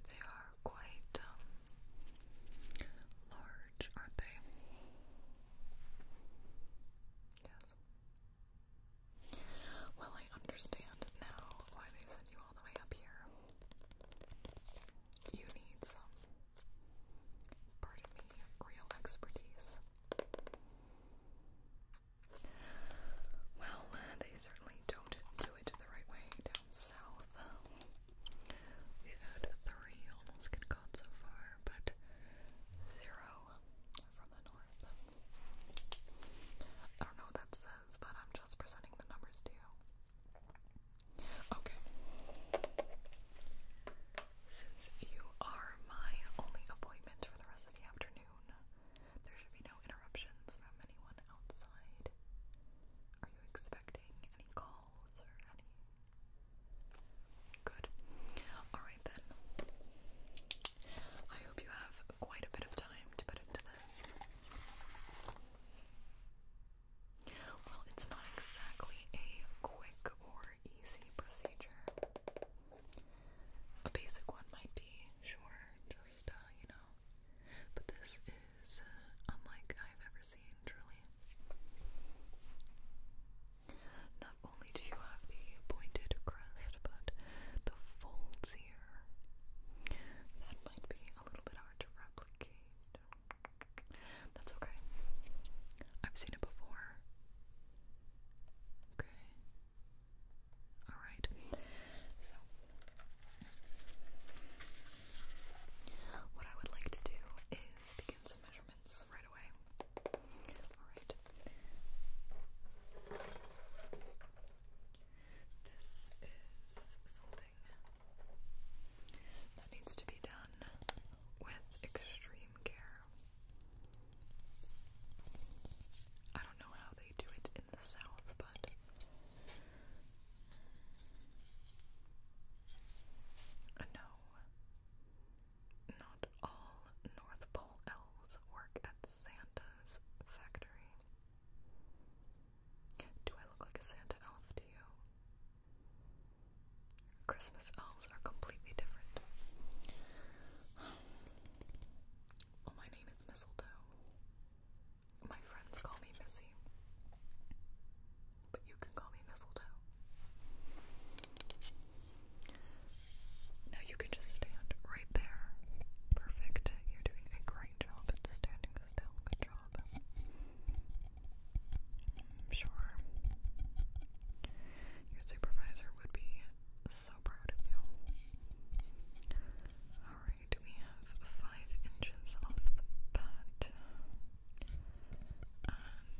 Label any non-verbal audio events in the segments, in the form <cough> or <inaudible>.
They are quite um, large, aren't they? Yes. Well, I understand now why they sent you all the way up here. You need some, pardon me, real expertise. Well, uh, they certainly don't do it the right way down south. We've had three almost good caught so far, but zero from the north. I don't know what that says, but I'm just presenting the numbers to you. Okay. Since you are my only appointment for the rest the afternoon. There should be no interruptions from anyone outside. Are you expecting any calls or any? Good. Alright then. I hope you have quite a bit of time to put into this. Well, it's not exactly a quick or easy procedure. A basic one might be, sure, just, uh, you know. But this is uh, unlike I've ever seen, truly. Not only do you have the pointed crest, but the folds here. That might be a little bit hard to replicate. That's okay. I've seen it before. Okay. Alright. So, what I would like to do is begin some measurements right away. Alright. This is something that needs to be done with extreme care. I don't know how they do it in the south, but no, not all North Pole elves work at Santa's factory. Do I look like a Santa elf to you? Christmas <sighs> my name is Mistletoe. My friends call me Missy. But you can call me Mistletoe. Now you can just stand right there. Perfect. You're doing a great job at standing still. Good job. I'm sure your supervisor would be so proud of you. Alright, we have five inches off the bat.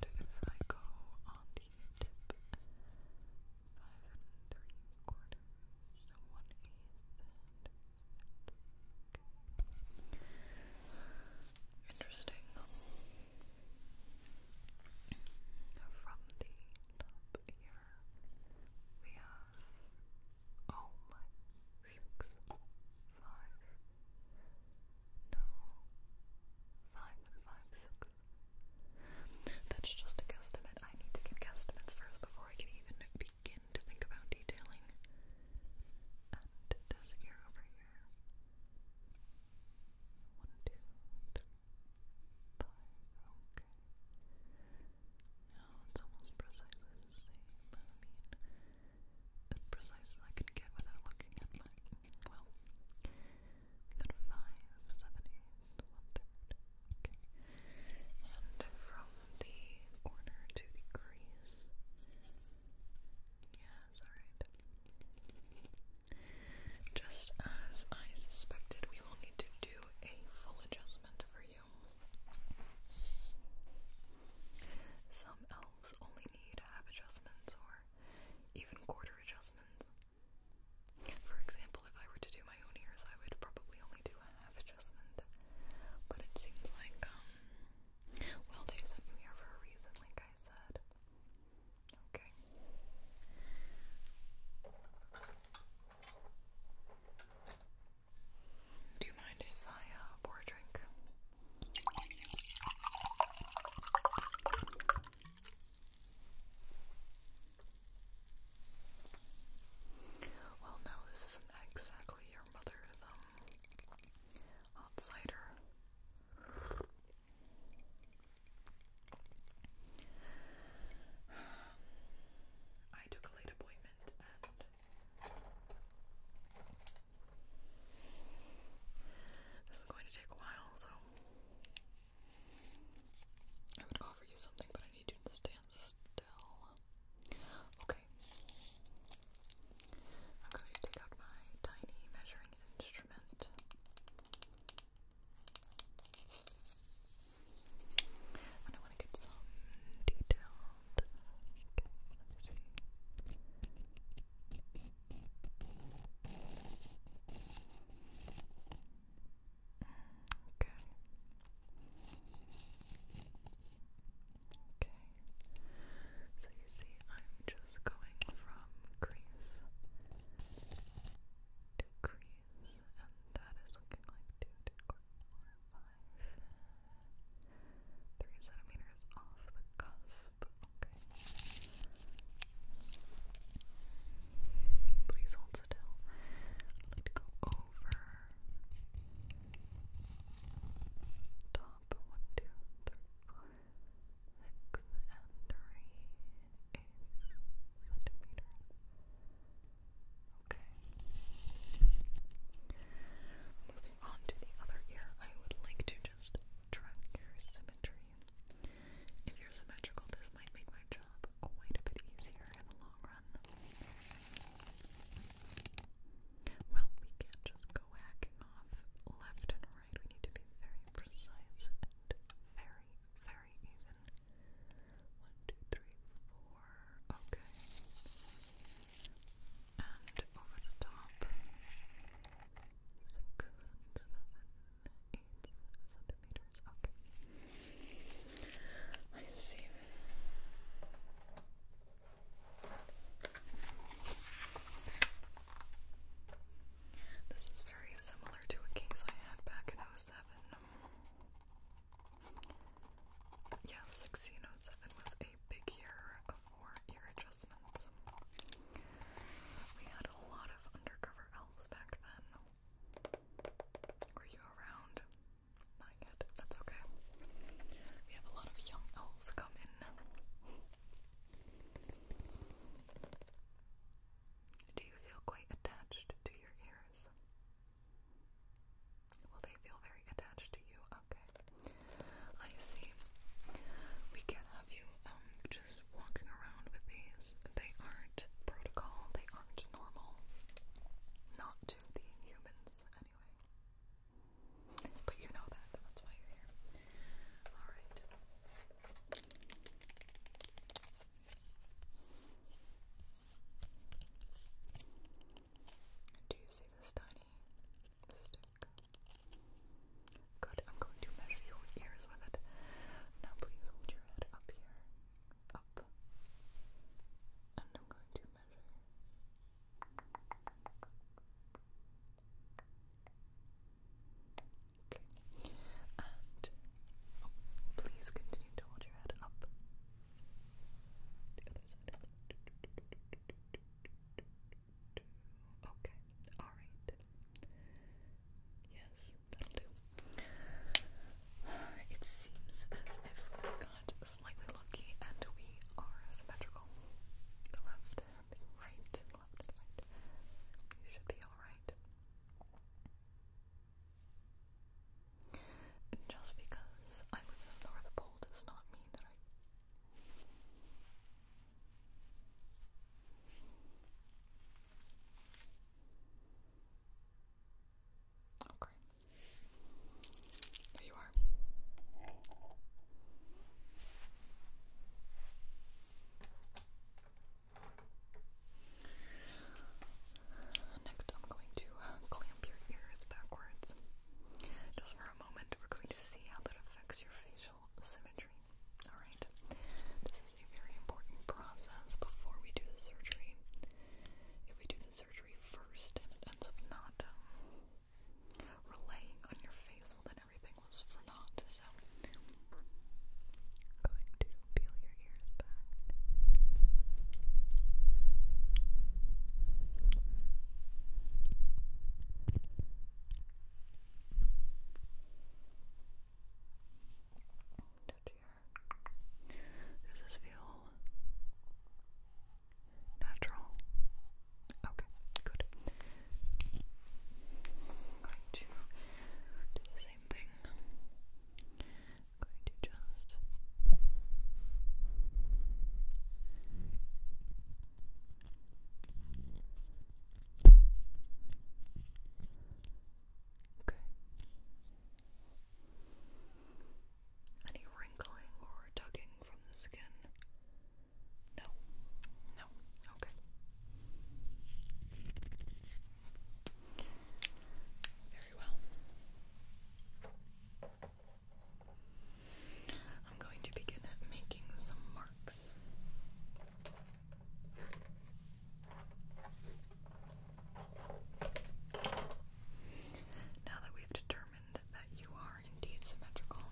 And if I go on the tip, five and three quarters, so one eighth, and okay. Interesting. From the top here, we have oh my six five no five five six. That's just a guesstimate. I need to get guesstimates first before I can even begin to think about detailing. And this ear over here. One, two, three, okay. Now it's almost precisely the same. I can get without looking at my. Well, we got five seventies, Okay. And from the corner to the Yes, alright. Just as I suspected, we will need to do a full adjustment for you. Some elves only need half adjustments or even quarter adjustments. For example, if I were to do my own ears, I would probably only do a half adjustment. But it seems like, um, well, they sent you here for a reason, like I said. Do you mind if I uh, pour a drink? Well, no, this isn't exactly your mother's um hot cider. I took a late appointment and this is going to take a while, so I would offer you something, but I need you to stand still. Okay. I'm going to take out my tiny measuring instrument. And I want to get some detailed. Okay. Okay. So you see, I'm just going from crease degrees, and that is looking like 2, centimeters off the cusp. Okay. Please hold still. I'd go over top 1, and 3 centimeter. Okay. Moving on to the other ear, I would like to just track your symmetry. If you're symmetrical, this might make my job quite a bit easier in the long run. Well, we can't just go hacking off left and right. We need to be very precise and very very even. One, two, three, four. Okay. And over the top. Six, seven, eight centimeters. Okay. I see. This is very similar to a case I had back in 1607. Yeah, 1607 was a big year for ear adjustments. We had a lot of undercover elves back then. Were you around? Not yet. That's okay. We have a lot of young elves come in. Do you feel quite attached to your ears? Well, they feel very attached to you. Okay. I see. We can have you um, just walking around with these. They aren't protocol, they aren't normal. Not to the humans anyway. But you know that, that's why you're here. Alright. Do you see this tiny stick? Good, I'm going to measure your ears with it. Now please hold your head up here. Up. And I'm going to measure. Okay. And oh, please continue to hold your head up. The other side. Okay. All right. Yes, that'll do. It seems as if we got slightly lucky and we are symmetrical. left, right, left, right. You should be alright. Just because I live in the North Pole does not mean that I. Okay. There you are. Next, I'm going to uh, clamp your ears backwards. Just for a moment, we're going to see how that affects your facial symmetry. Alright? This is a very important process before we do the surgery. If we do the surgery first and it ends up not um, relaying on your face, well, then everything was for naught. So, i going to peel your ears back. Does this feel natural? Okay, good. going to do the same thing going to just Okay. Any wrinkling or tugging from the skin? No. No. Okay. Very well. I'm going to begin making some marks. Now that we've determined that you are indeed symmetrical,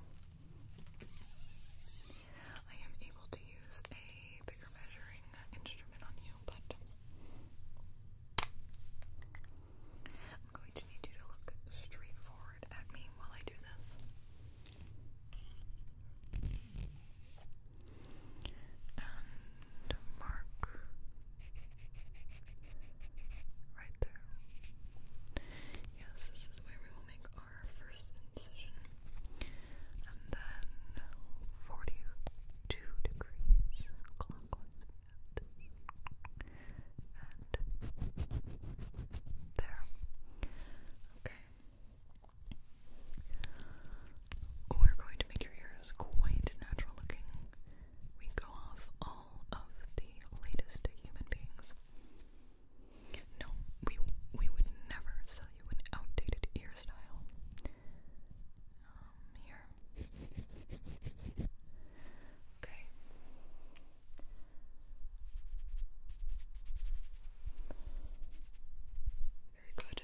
I am able to use a a bigger measuring instrument on you, but I'm going to need you to look straight forward at me while I do this. And mark right there. Yes, this is where we will make our first incision and then 42 degrees and there okay we're going to make your ears quite natural looking we go off all of the latest human beings no, we we would never sell you an outdated ear style. Um, here. Okay. Very good.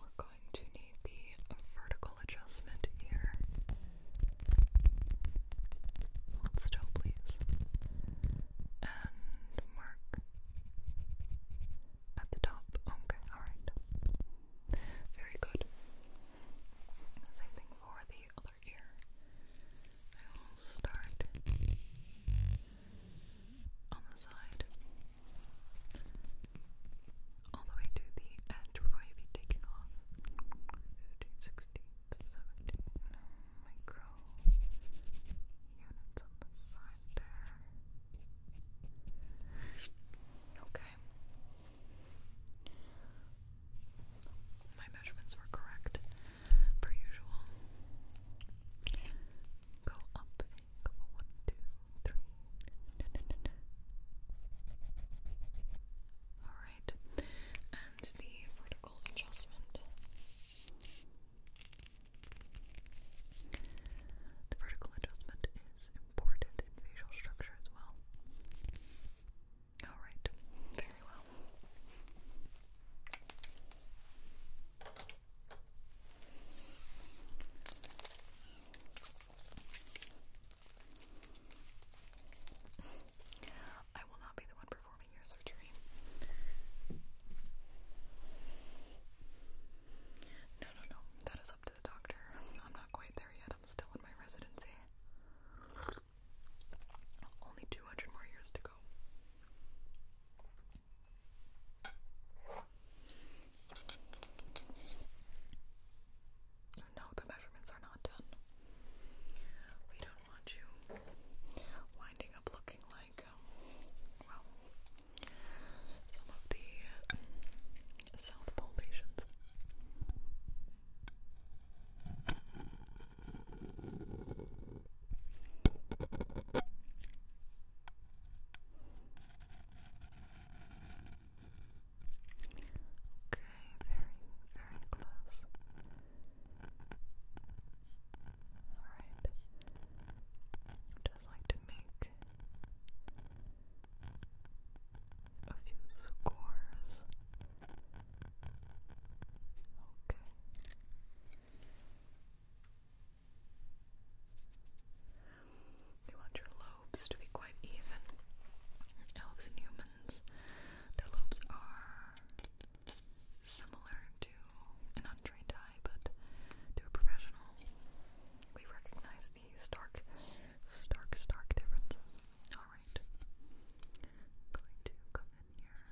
We're going to need the vertical adjustment here. Hold still, please. And mark at the top. Okay, alright. Very good. Same thing for the other ear. I will start on the side. All the way to the edge, we're going to be taking off 15, micro units on the side there. Okay. My measurements were correct, per usual. Go up and go one, two, three. Alright, and the vertical adjustment. The vertical adjustment is important in facial structure as well. Alright, very well. I will not be the one performing your surgery. No, no, no. That is up to the doctor. I'm not quite there yet. I'm still in my residency. Only 200 more years to go. No, the measurements are not done. We don't want you winding up looking like, um, some of the um, South Pole patients. Okay, very, very close. Alright. Just like to make a few scores. Okay. You want your lobes to be quite even. Elves and humans, their lobes are similar to to an untrained eye, but to a professional, we recognize the stark, stark, stark differences. Alright. going to come in here.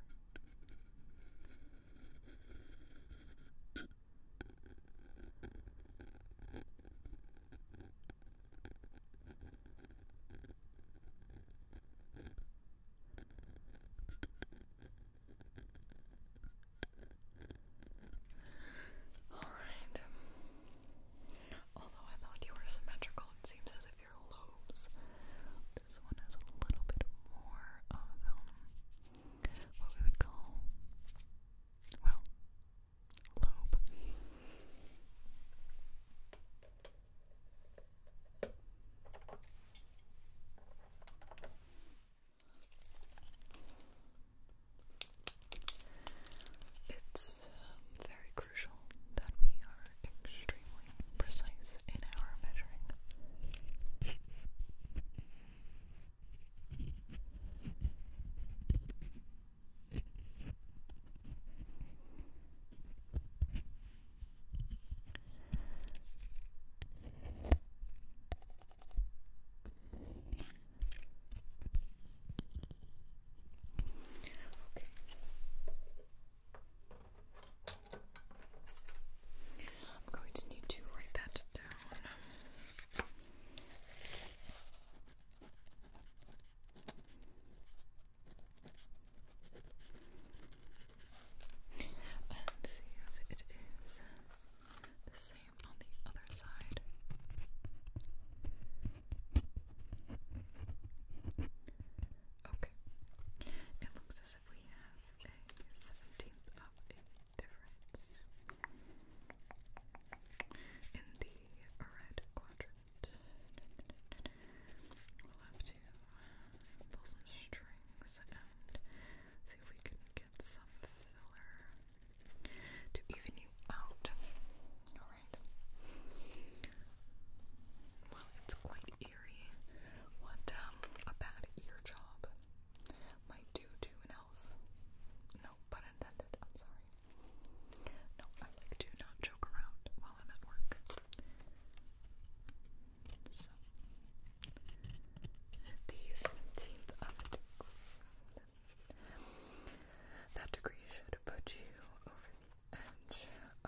Although I thought you were symmetrical, it seems as if your lobes. This one has a little bit more of um, what we would call, well, lobe. It's um, very crucial that we are extremely precise in our measuring. Okay. I'm going to need to write that down. And see if it is the same on the other side. Okay. It looks as if we have a seventeenth of a difference in the red quadrant. We'll have to pull some strings see if we can get some filler to even you out. Alright. Well, it's quite eerie what um, a bad ear job might do to an elf. No pun intended, I'm sorry. No, I like to not joke around while I'm at work. March the 17th of That degree should put you over the edge of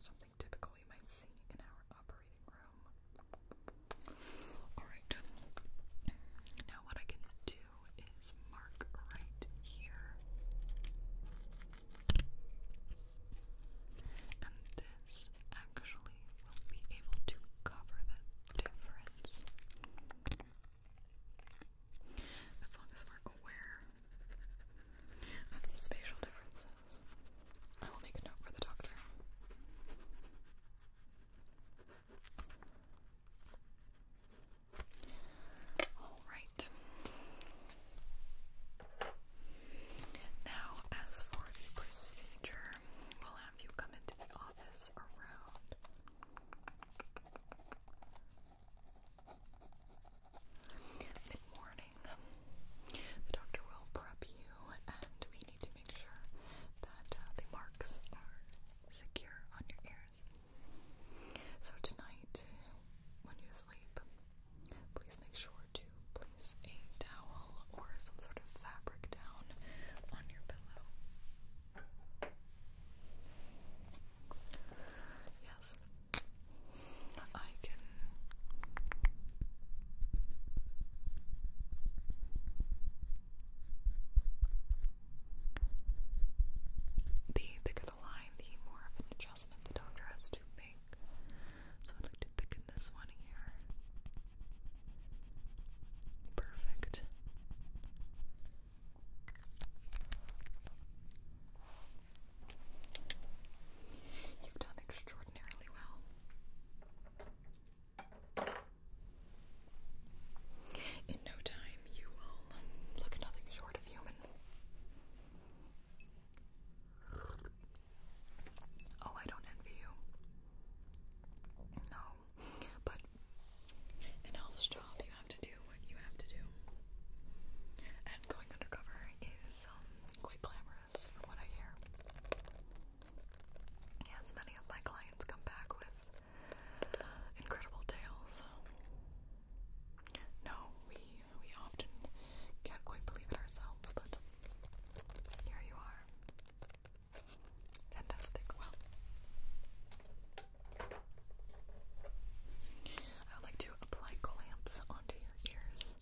something typical we might see in our operating room. Alright, now what I can do is mark right here. And actually will be able to cover that difference. As long as we're aware of the spatial differences. I will make a note for the doctor. Alright. Now, as for the procedure, later. We'll have you come into the office around. Mid morning, the doctor will prep you, and we need to make sure that uh, the marks are secure on your ears. So, tonight, when you sleep, please make sure to to place a towel or some sort of fabric down on your pillow. Yes, I can. The thicker the line, the more of an adjustment the doctor has to make. So I'd like to thicken this one here. Perfect. You've done extraordinarily well. In no time, you will look nothing short of human. Oh, I don't envy you. No. But an elf's job, you have to do what you have to do. And going undercover is um, quite glamorous, from what I hear. Yes, many of my clients come back with incredible tales. No, we we often can't quite believe it ourselves, but here you are. Fantastic. Well, I would like to apply clamps onto your ears.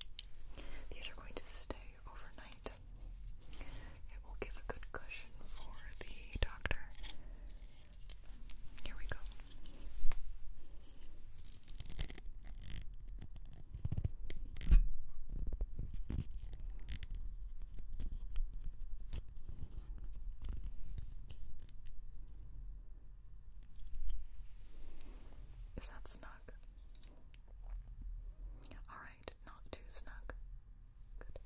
These are going to stay overnight. It will give a good cushion for the doctor. Here we go. Is that snug? All right, not too snug. Good.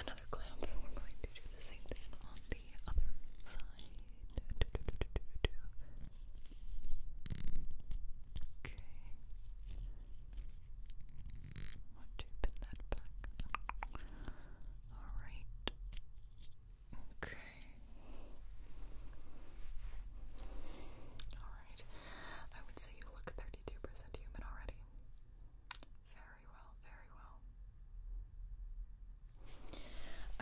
another clamp. We're going to do the same thing on the other side. Okay. Want to pin that back? Alright. Okay. Alright. I would say you look 32% human already. Very well, very well.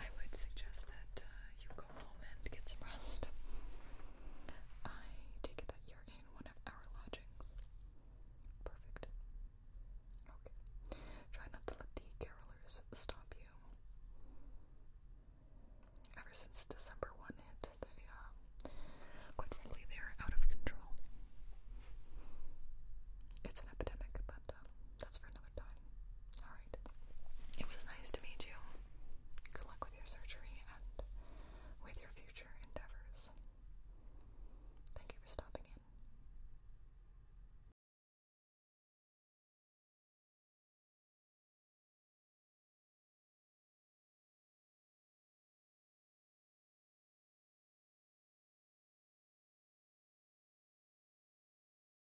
I would suggest that uh, you go home and get some rest. I take it that you're in one of our lodgings. Perfect. Okay. Try not to let the carolers stop you. Ever since December 1 hit, they, uh, they're out of control. It's an epidemic, but uh, that's for another time. All it was nice to meet you. Good luck with your surgery and with your future endeavors. Thank you for stopping in.